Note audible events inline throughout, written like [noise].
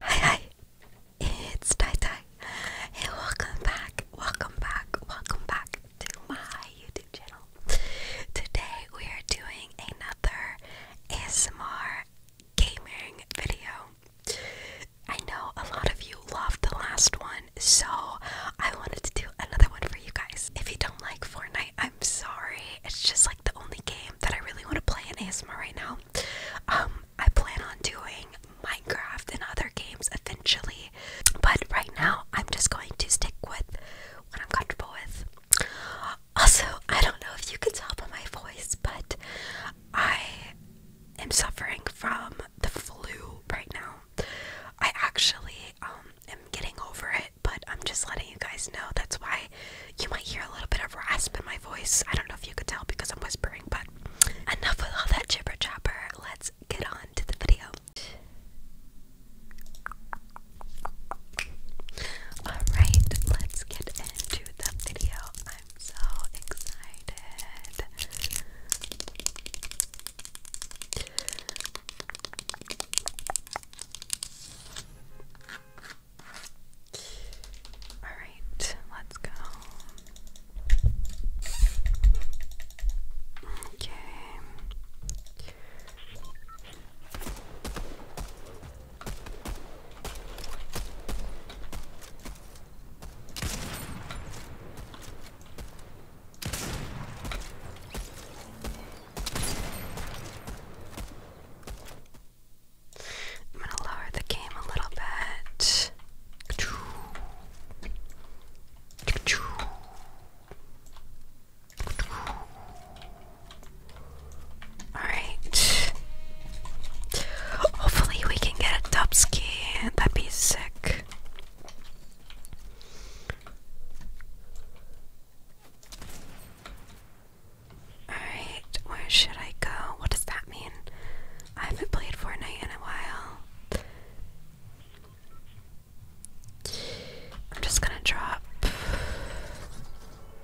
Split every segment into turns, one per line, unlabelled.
Hi hi, it's Tai Tai. welcome back, welcome back, welcome back to my YouTube channel. Today we are doing another ASMR gaming video. I know a lot of you loved the last one, so I wanted to do another one for you guys. If you don't like Fortnite, I'm sorry. It's just like the only game that I really want to play in ASMR right now. Um, I plan on doing Minecraft and other games eventually, but right now I'm just going to stick with what I'm comfortable with. Also, I don't know if you can tell by my voice, but I am suffering from the flu right now. I actually um, am getting over it, but I'm just letting you guys know. That's why you might hear a little bit of rasp in my voice. I don't know if you could tell because I'm whispering, but enough with all that jibber chopper. Let's get on to the video. Alright, let's get into that video. I'm so excited. Alright, let's go. Okay. I'm going to lower the game a little bit. Alright. Hopefully, we can get a top ski. That'd be sick. Alright, where should I go? What does that mean? I haven't played Fortnite in a while. I'm just gonna drop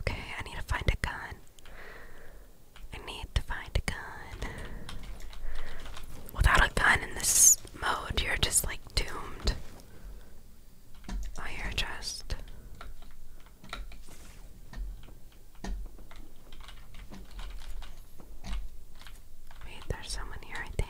Okay, I need to find a gun. I need to find a gun. Without a gun in this mode, you're just like doomed. Oh, you're just. Wait, there's someone here, I think.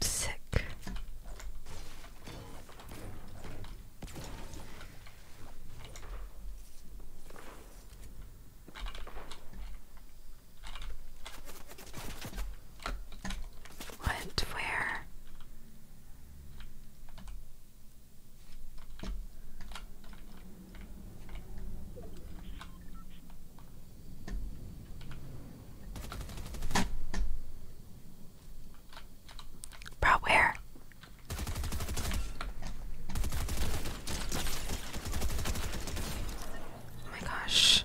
Sick. What? Where? Bro, where? Oh my gosh.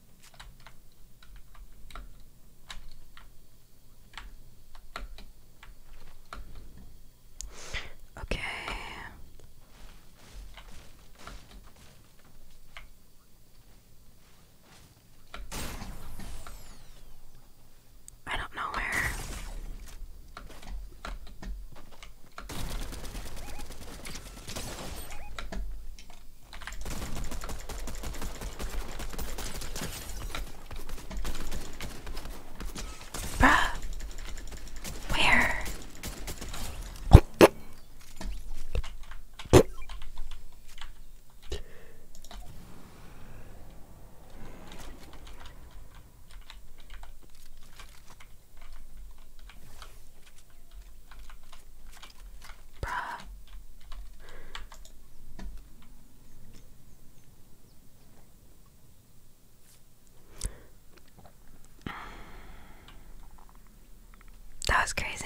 Okay. I don't know where. Bruh. Where? That was crazy.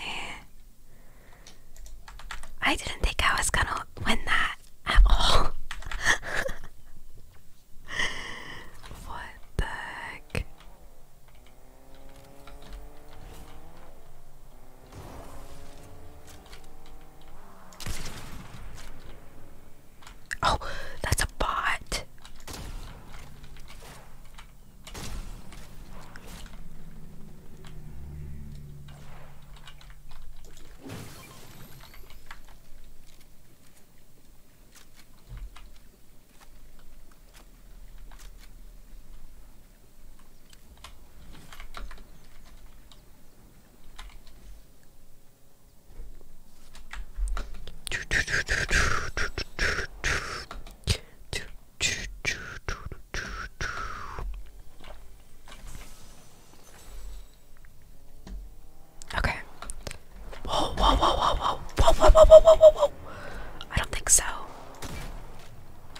I didn't think I was gonna win that at all. [laughs] what the heck? Oh, that's a bot. Okay. Whoa, whoa, whoa, whoa, whoa, whoa, whoa, whoa, whoa, whoa, whoa. I don't think so.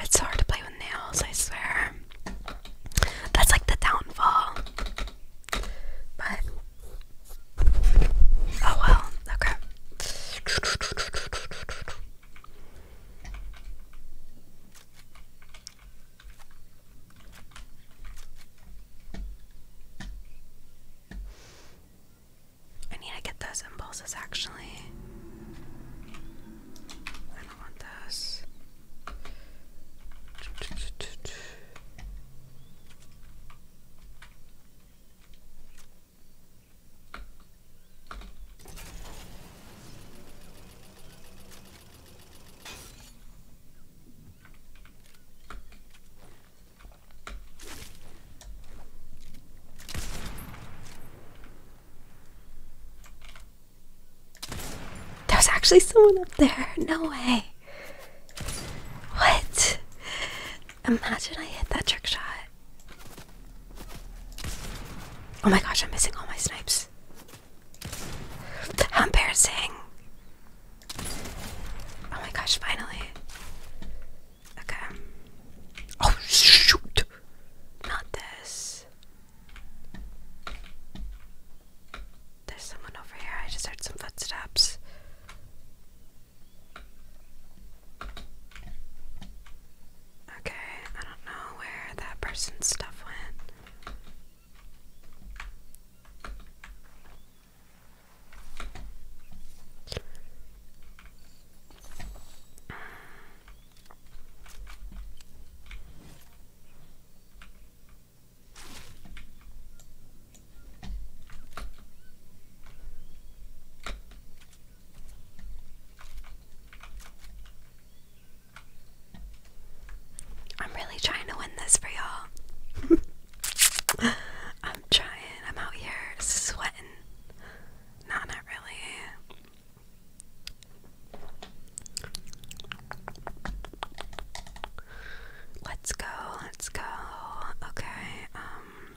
It's hard to play with nails, I swear. That's like the downfall. But oh well, okay. I need to get those impulses actually. I don't want those. There's actually someone up there. No way. What? Imagine I hit that trick shot. Oh my gosh, I'm missing all my snipes. How embarrassing. Oh my gosh, finally. Okay. Oh shoot! Not this. There's someone over here. I just heard some footsteps. Okay, I don't know where that person's stuff went. I'm really trying to win this for y'all. [laughs] I'm trying. I'm out here sweating. No, not really. Let's go. Let's go. Okay. Um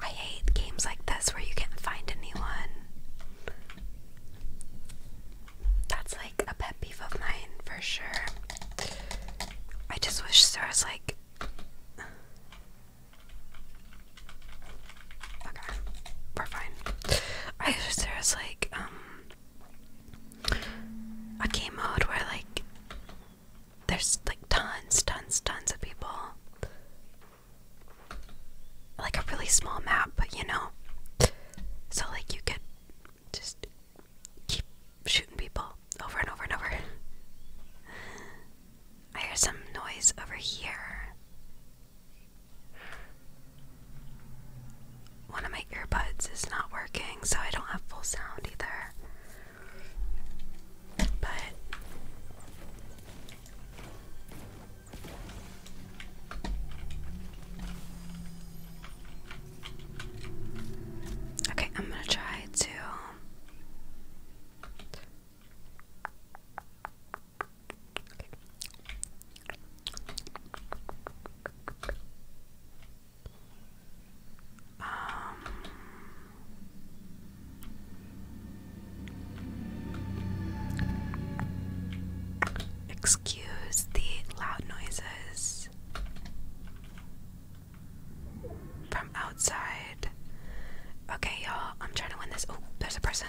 I hate games like this where you can't find anyone. That's like a pet peeve of mine for sure. I just wish there was like. Okay, we're fine. I wish there was like, um. A game mode where like there's like tons, tons, tons of people. Like a really small map, but you know. So, like, you could just keep shooting people over and over and over. I hear some noise over here. One of my earbuds is not working, so I don't have full sound either. But Okay, I'm going to try to um, excuse the loud noises from outside. Okay, y'all, I'm trying to win this. Oh, there's a person.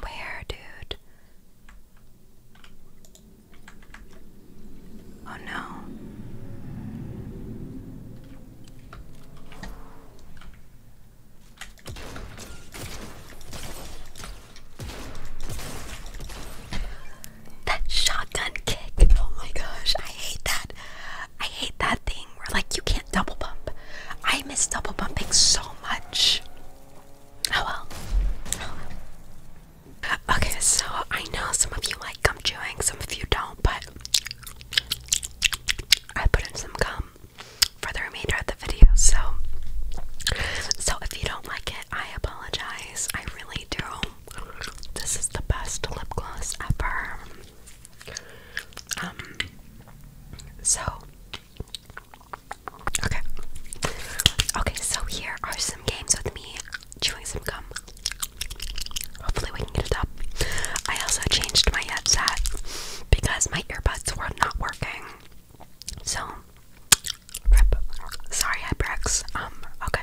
Where, dude? Oh no. That shotgun kick. Oh my gosh, I hate that. I hate that thing where like you can't double bump. I miss double bumping so much. Oh well. Okay, so I know some of you like gum chewing, some of you don't, but I put in some gum for the remainder of the video, so so if you don't like it, I apologize. I really do. This is the best lip gloss ever. Um, so, okay. Okay, so here are some games with me chewing some gum. Hopefully, we can get it up. I also changed my headset because my earbuds were not working. So, rip. Sorry, Ibrex. Um, okay.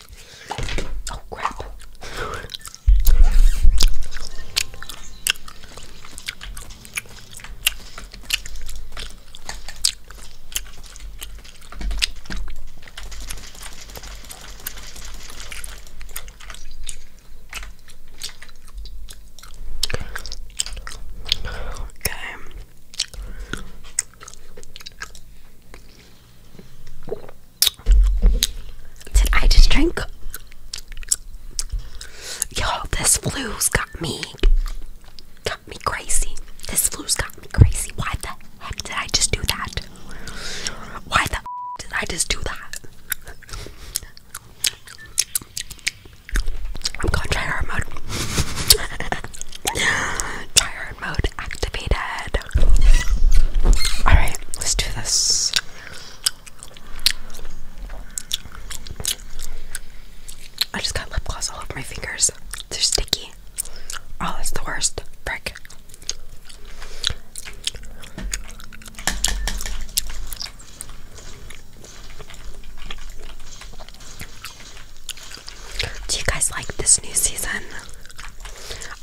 Oh crap. Okay. Did I just drink? Yo, this flu's got me. Got me crazy. This flu's got me crazy. Why the heck did I just do that? Why the did I just do that? I'm gonna try hard mode. [laughs] try airport mode activated. Alright, let's do this. I just got lip gloss all over my fingers. They're sticky. Oh, that's the worst. Frick. Do you guys like this new season?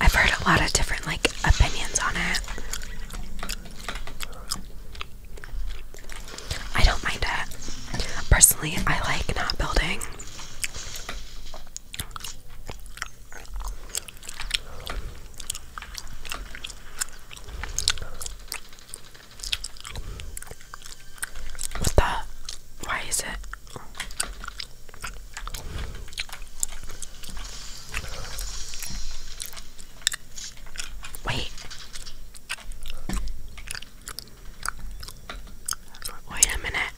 I've heard a lot of different like opinions on it. I don't mind it. Personally, I like not building. What the? Why is it? Wait. Wait a minute.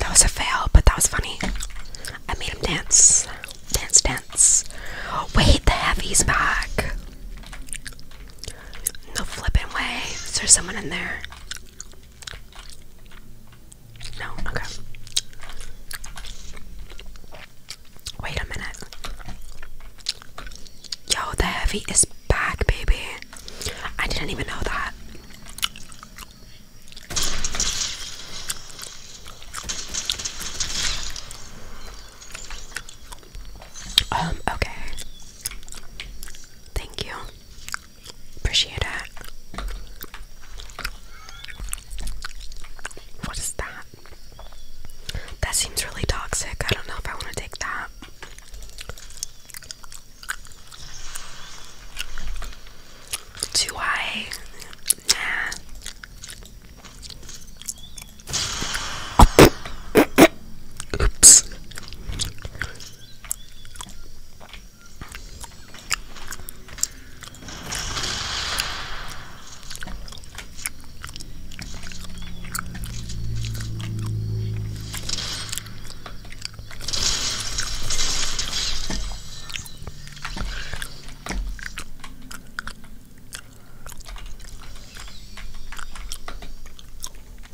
That was a fail, but that was funny. I made him dance. Dance, dance. Wait, the heavy's back. No flipping way. Is there someone in there? No, okay. Wait a minute. Yo, the heavy is back, baby. I didn't even know that. Um, okay. Thank you. Appreciate it. What is that? That seems really toxic. I don't know if I want to take that. Do I? Oops.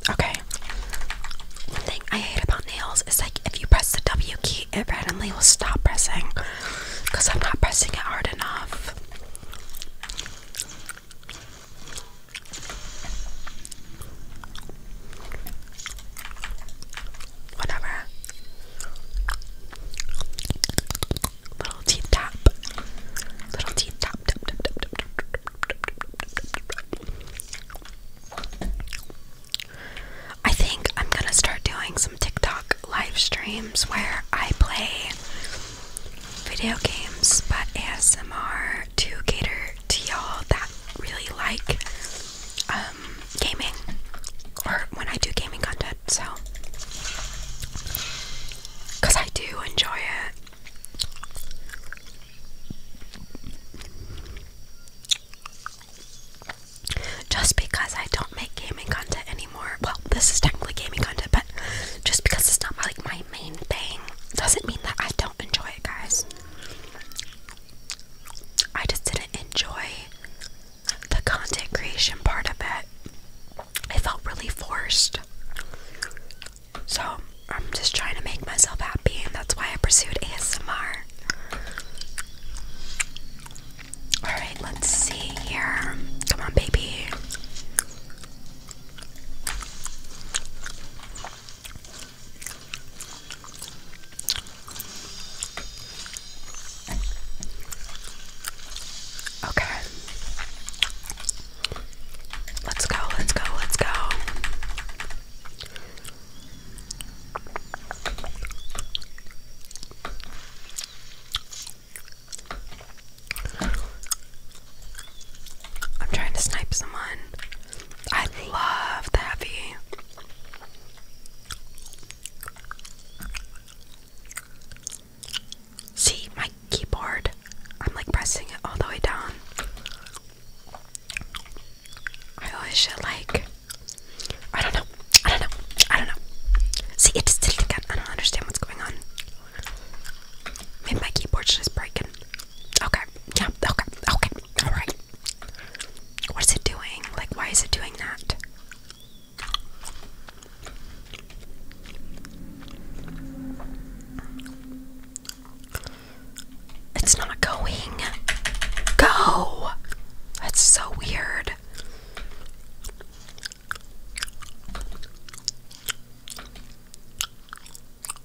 Okay. One thing I hate about nails is like if you press the W key, it randomly will stop pressing because I'm not pressing it hard enough. Whatever. Little teeth Little teeth I think I'm gonna start doing some TikTok live streams where I play video games but ASMR to cater to y'all that really like um, gaming or when I do gaming content. So, because I do enjoy it. Just because I don't make gaming content anymore, well, this is technically gaming content, but just because it's not like my main thing doesn't mean that I don't enjoy it, guys. I just didn't enjoy the content creation part of it. It felt really forced. So I'm just trying to make myself happy, and that's why I pursued ASMR. Alright, let's see here. Come on, baby. Okay. Let's go, let's go, let's go. I'm trying to snipe someone. I love that taffy. See my keyboard. I'm like pressing it all the way down. I always should like. I don't know. I don't know. I don't know. See, it's still again. I don't understand what's going on. Maybe my keyboard just breaking. Okay. Yeah. Okay. Okay. All right. What is it doing? Like, why is it doing that? It's not going. Go. That's so weird.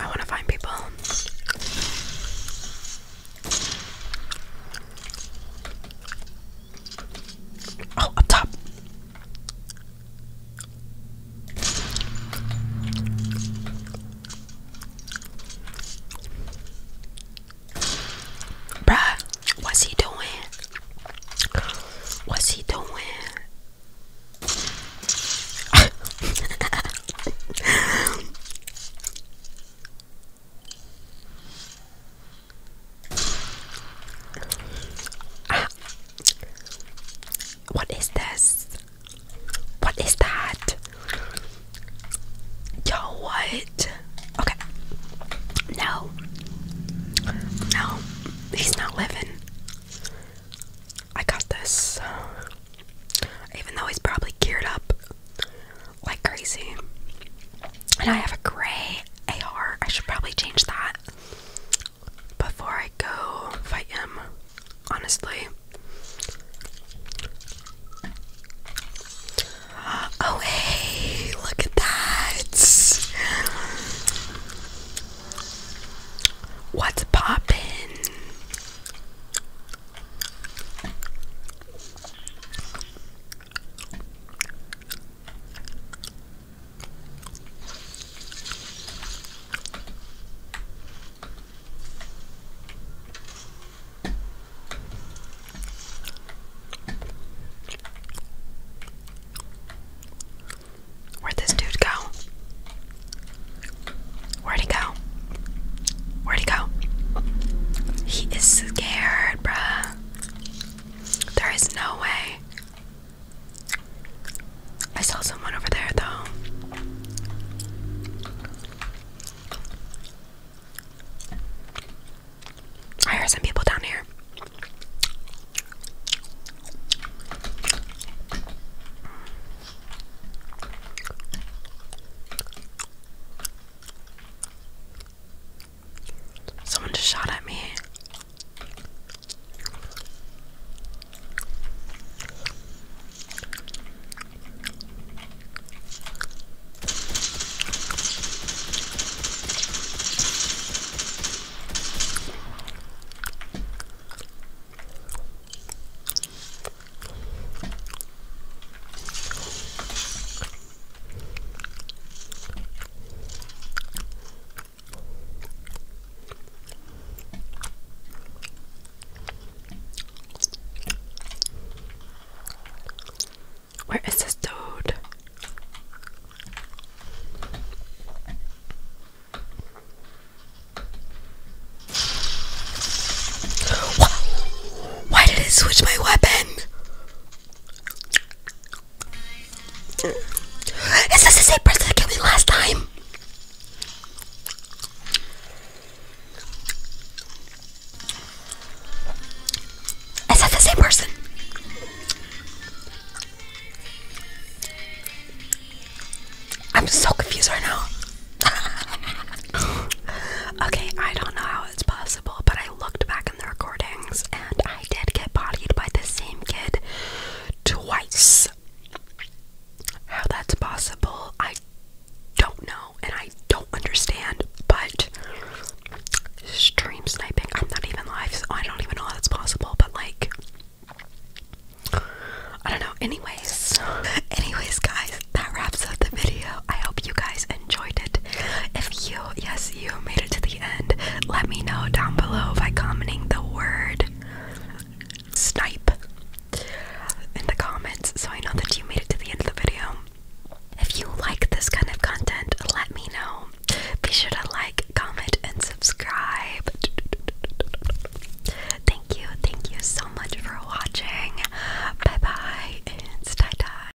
I want to find people. Oh, up top. Bruh, what's he doing? What's he doing? ah. What is this? What is that? Yo, what? Okay. No. No, he's not living. I got this. Uh, even though he's probably geared up like crazy. And I have a gray AR. I should probably change that before I go fight him, honestly. Oh, hey, look at that. What's poppin'? Where'd this dude go? Where'd he go? Where'd he go? He is scared, bruh. There is no way. I saw someone over there, though. I hear some people down here. Someone just shot at me. Where is this toad? Why did it switch my weapon? Is this the same person that killed me last time? Is that the same person? I'm so confused right now. [laughs] okay, I don't know how it's possible, but I looked back in the recordings and I did get bodied by the same kid twice. How that's possible, I don't know and I don't understand, but stream sniping, I'm not even live, so I don't even know how that's possible, but like I don't know. Anyways, [laughs] anyways, guys, that wraps up the video. I hope you guys enjoyed it. If you, yes, you made it to the end, let me know down below by commenting the word snipe in the comments so I know that you made it to the end of the video. If you like this kind of content, let me know. Be sure to like, comment, and subscribe. [laughs] thank you, thank you so much for watching. Bye bye, it's tie tie.